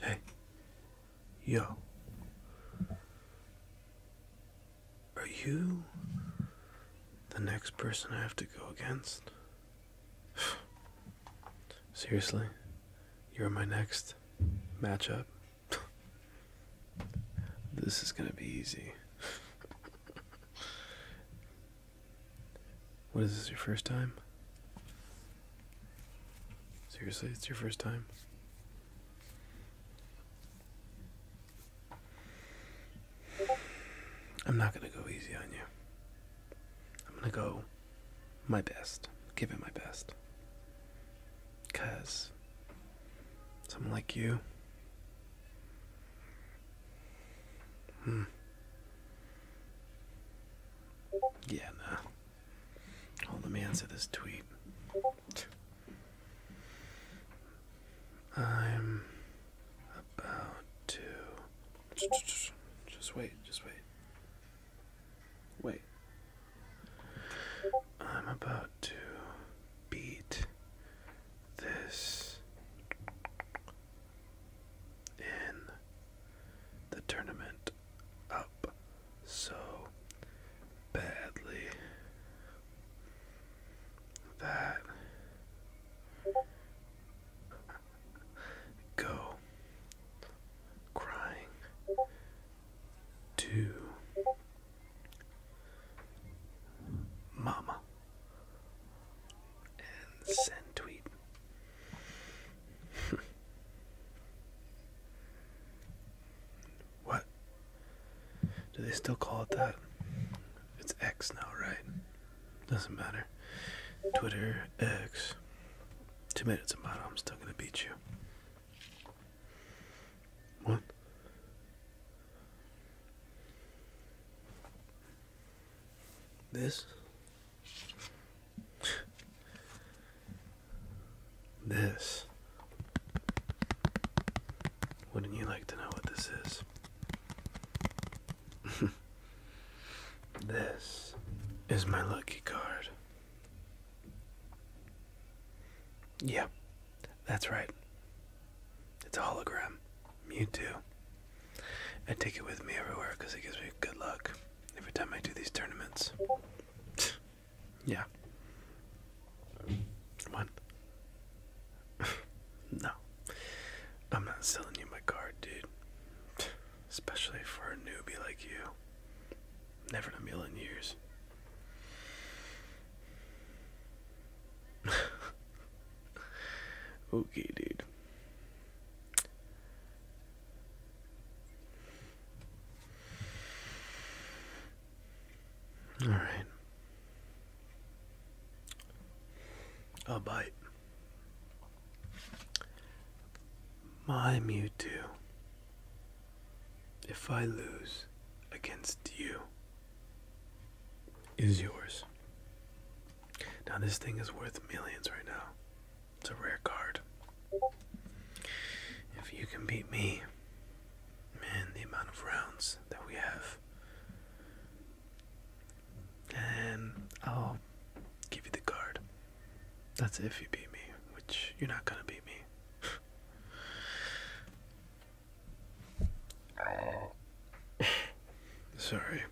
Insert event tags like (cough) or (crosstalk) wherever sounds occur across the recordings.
Hey, yo, are you the next person I have to go against? (sighs) Seriously, you're my next last matchup. (laughs) this is going to be easy. what is this, your first time? Seriously, it's your first time? I'm not going to go easy on you. I'm going to go my best. Give it my best. Because someone like you. Hmm. Yeah, nah. All the man said answer this tweet. I'm about to. Just wait, just wait. Wait. I'm about to beat this in the tournament up so badly that go crying to Mama and send tweet. what? Do they still call it that? It's X now, right? Doesn't matter. Twitter X. Two minutes, Amato. I'm still gonna beat you. What? This? This. Wouldn't you like to know what this is? (laughs) this is my lucky card. Yeah, that's right. It's a hologram. too. I take it with me everywhere because it gives me good luck every time I do these tournaments. (sighs) yeah. One. (laughs) no. I'm not selling you my card, dude. (sighs) (laughs) Especially for a newbie like you. Never in a million years. (laughs) okay, dude. All right. A bite. My Mewtwo, if I lose against you, is yours. Now, this thing is worth millions right now. It's a rare card. If you can beat me, man, the amount of rounds that we have. And I'll give you the card. That's if you beat me, which you're not gonna beat me. (laughs) Sorry, I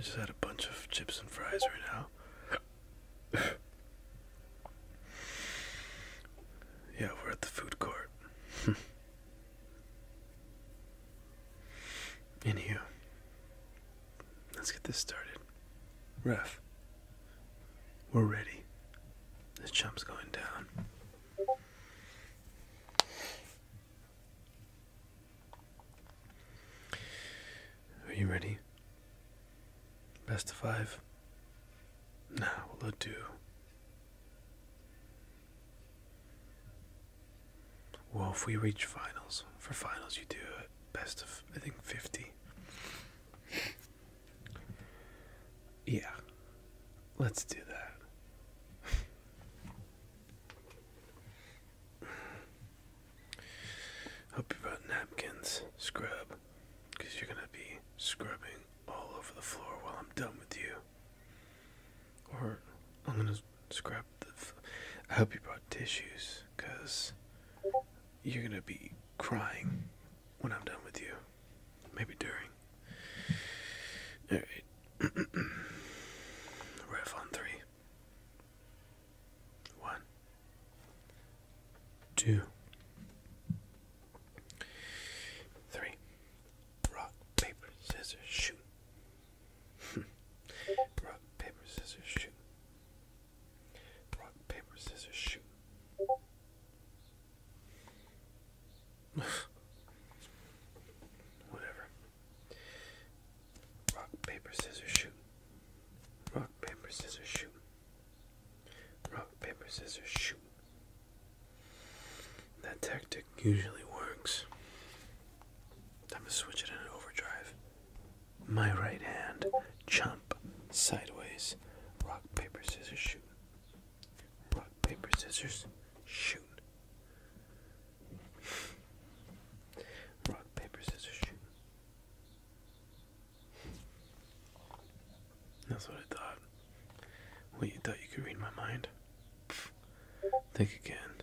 just had a bunch of chips and fries right now. (laughs) yeah, we're at the food court. (laughs) In here. Let's get this started. Ref, we're ready. This chump's going down. Are you ready? Best of five? Now, what will do. Well, if we reach finals, for finals you do a best of I think fifty. Yeah, let's do that. Hope you brought napkins, scrub, because you're gonna be scrubbing all over the floor while I'm done with you. Or I'm gonna scrub the. I hope you brought tissues, cause you're gonna be crying when I'm done with you. Maybe during. All (clears throat) right. Rev on three. One. Two. Three. Rock, paper, scissors, shoot. Hmm. Rock, paper, scissors, shoot. Rock, paper, scissors, shoot. (laughs) Whatever. Rock, paper, scissors, shoot. Rock, paper, scissors, shoot. Rock, paper, scissors, shoot. That tactic usually works. Time to switch it in overdrive. My right hand. Chomp. Sideways. Rock, paper, scissors, shoot. Rock, paper, scissors, shoot. Rock, paper, scissors, shoot. That's what I thought. What, you thought you could read my mind? Think again.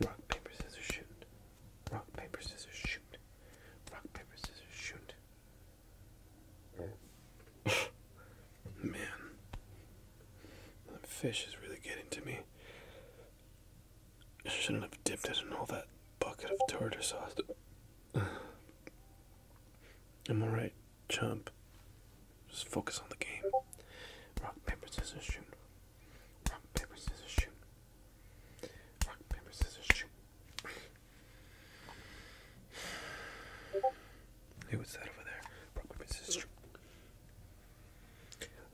Rock, paper, scissors, shoot. Rock, paper, scissors, shoot. Rock, paper, scissors, shoot. Man, that fish is really getting to me. I shouldn't have dipped it in all that bucket of tartar sauce. Am (sighs) i right? Chump. Just focus on the game. Rock, paper, scissors, shoot. Rock, paper, scissors, shoot. Rock, paper, scissors, shoot. Hey, what's that over there? Rock, paper, scissors, shoot.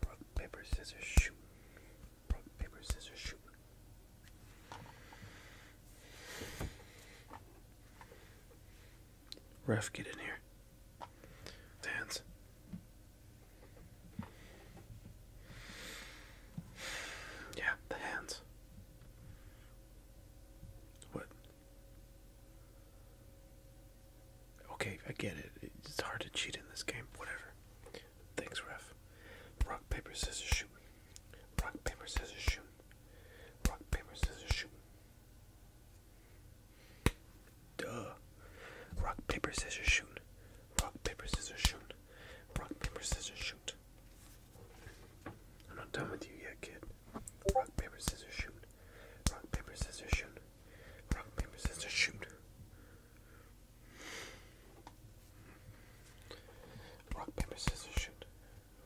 Rock, paper, scissors, shoot. Rock, paper, scissors, shoot. Ref, get in here. Hands. Yeah, the hands. What? Okay, I get it. It's hard to cheat in this game. Whatever. Thanks, ref. Rock, paper, scissors, shoot. Rock, paper, scissors, shoot. Rock, paper, scissors, shoot. Duh. Rock, paper, scissors, shoot. Rock, paper, scissors, shoot. Rock, paper, scissors, shoot. I'm not done with you yet, kid. Rock, paper, scissors, shoot. Rock, paper, scissors, shoot. Rock, paper, scissors, shoot. Rock, paper, scissors, shoot.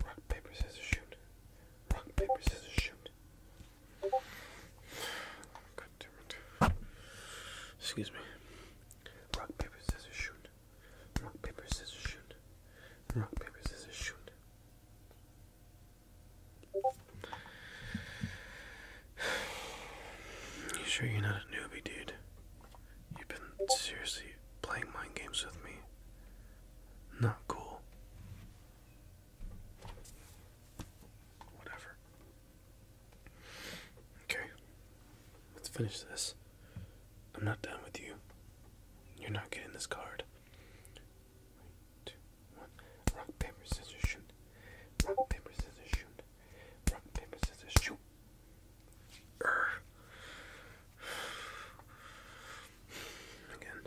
Rock, paper, scissors, shoot. Rock, paper, scissors, shoot. Excuse me. Rock, paper, scissors, shoot. Rock, paper, scissors, shoot. Rock, paper, scissors, shoot. You sure you're not a newbie, dude? You've been seriously playing mind games with me not cool. Whatever. Okay. Let's finish this. I'm not done with you. You're not getting this card. Three, two, one. Rock, paper, scissors, shoot. Rock, paper, scissors, shoot. Rock, paper, scissors, shoot. Urgh. Again,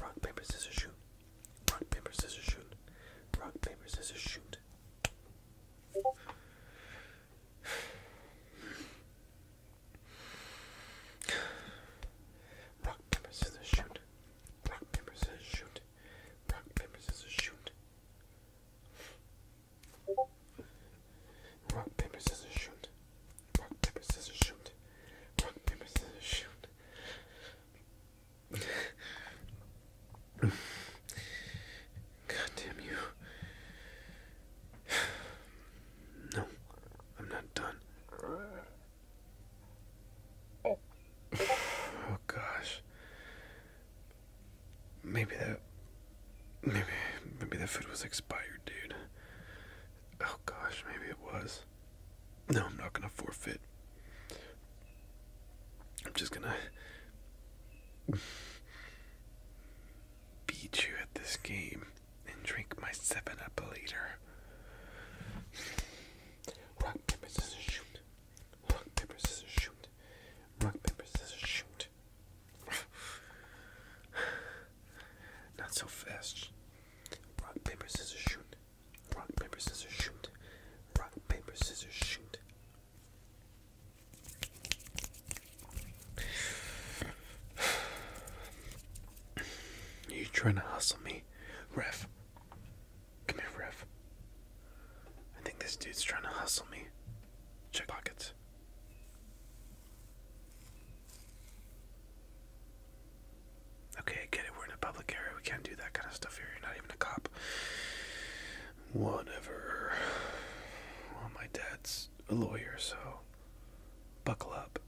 rock, paper, scissors, shoot. Rock, paper, scissors, shoot. Rock, paper, scissors, shoot. Rock, paper, scissors, shoot. Rock, paper, scissors, shoot. Rock, paper, scissors, shoot. Rock, paper, scissors, shoot. Rock, paper, scissors, shoot. Rock, paper, scissors, shoot. God damn you. No, I'm not done. Oh gosh. Maybe that Maybe, maybe the food was expired, dude. Oh gosh, maybe it was. No, I'm not gonna forfeit. I'm just gonna beat you at this game and drink my 7 up later. Rock, paper, scissors, shoot. Rock, paper, scissors, shoot. Rock, paper, scissors, shoot. (sighs) Not so fast. Rock, paper, scissors, shoot. Rock, paper, scissors, shoot. Rock, paper, scissors, shoot. Are (sighs) You trying to hustle me, ref? Come here, ref. I think this dude's trying to hustle me. Check pockets. Okay, get it. We're in a public area. We can't do that kind of stuff here. You're not even a cop. Whatever. Well, my dad's a lawyer, so buckle up.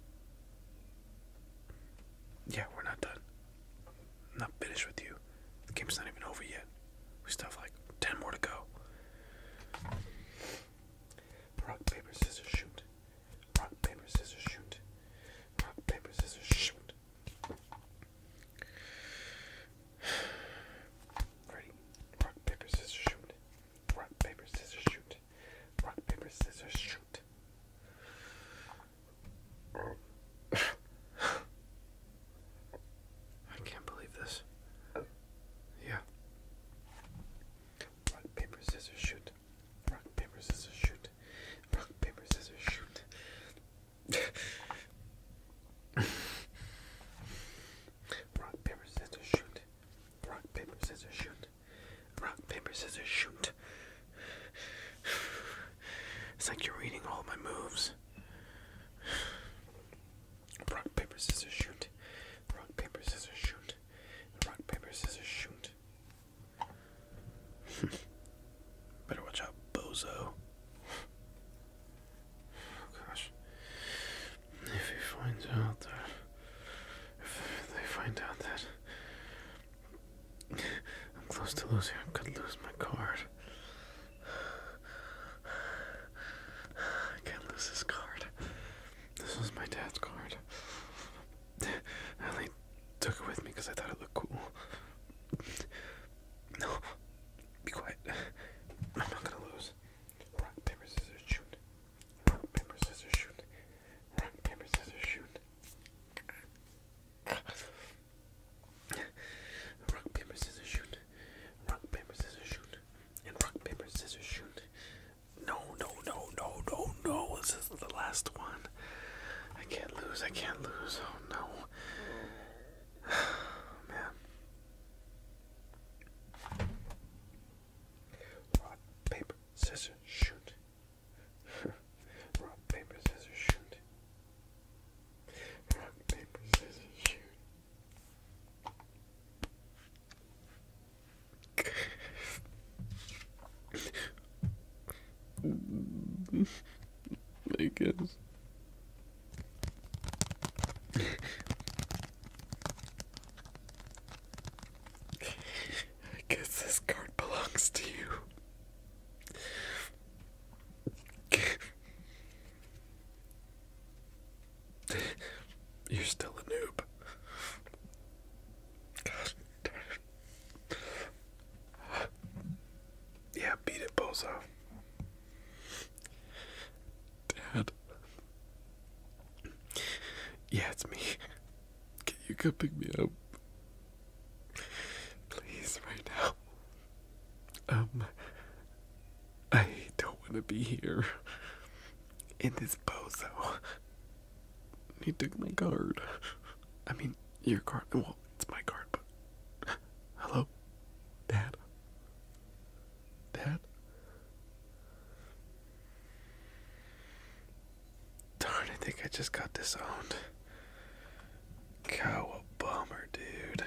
Yeah, we're not done. not finished with you. The game's not even over yet. We still have like 10 more to go. Rock, paper, scissors, shoot. Rock, paper, scissors, shoot. Rock, paper, scissors, shoot. Ready? Rock, paper, scissors, shoot. Rock, paper, scissors, shoot. Rock, paper, scissors, shoot. I can't believe this. Oh. Yeah. Rock, paper, scissors, shoot. Rock, paper, scissors, shoot. Rock, paper, scissors, shoot. Rock, paper, scissors, shoot. Rock, paper, scissors, shoot. Rock, paper, scissors, shoot. It's like you're reading all my moves. Rock, paper, scissors, shoot. Rock, paper, scissors, shoot. Rock, paper, scissors, shoot. (laughs) Better watch out, bozo. Oh, gosh. If he finds out If they find out that. (laughs) I'm close to losing. I could lose my card. I can't lose this card. This was my dad's card. I only took it with me because I thought it looked cool. No, be quiet. I'm not gonna lose. Rock, paper, scissors, shoot. Rock, paper, scissors, shoot. Rock, paper, scissors, shoot. Rock, paper, scissors, shoot. Rock, paper, scissors, shoot. And rock, paper, scissors, shoot. No, no, no, no, no, no. This is the last one. I can't lose. I can't lose. Oh no. (sighs) man. (laughs) Rock, paper, scissors, shoot. rock, paper, scissors, shoot. Rock, paper, scissors, shoot. I guess. I guess this card belongs to you. You're still a noob. God damn Yeah, beat it, Bozo. Dad. Yeah, it's me. Can you come pick me up? Please, right now. Um, I don't want to be here. In this bozo. He took my card. I mean, your card. Well, it's my card, but. Hello? Dad? Dad? Darn, I think I just got disowned. Cow, a bummer, dude.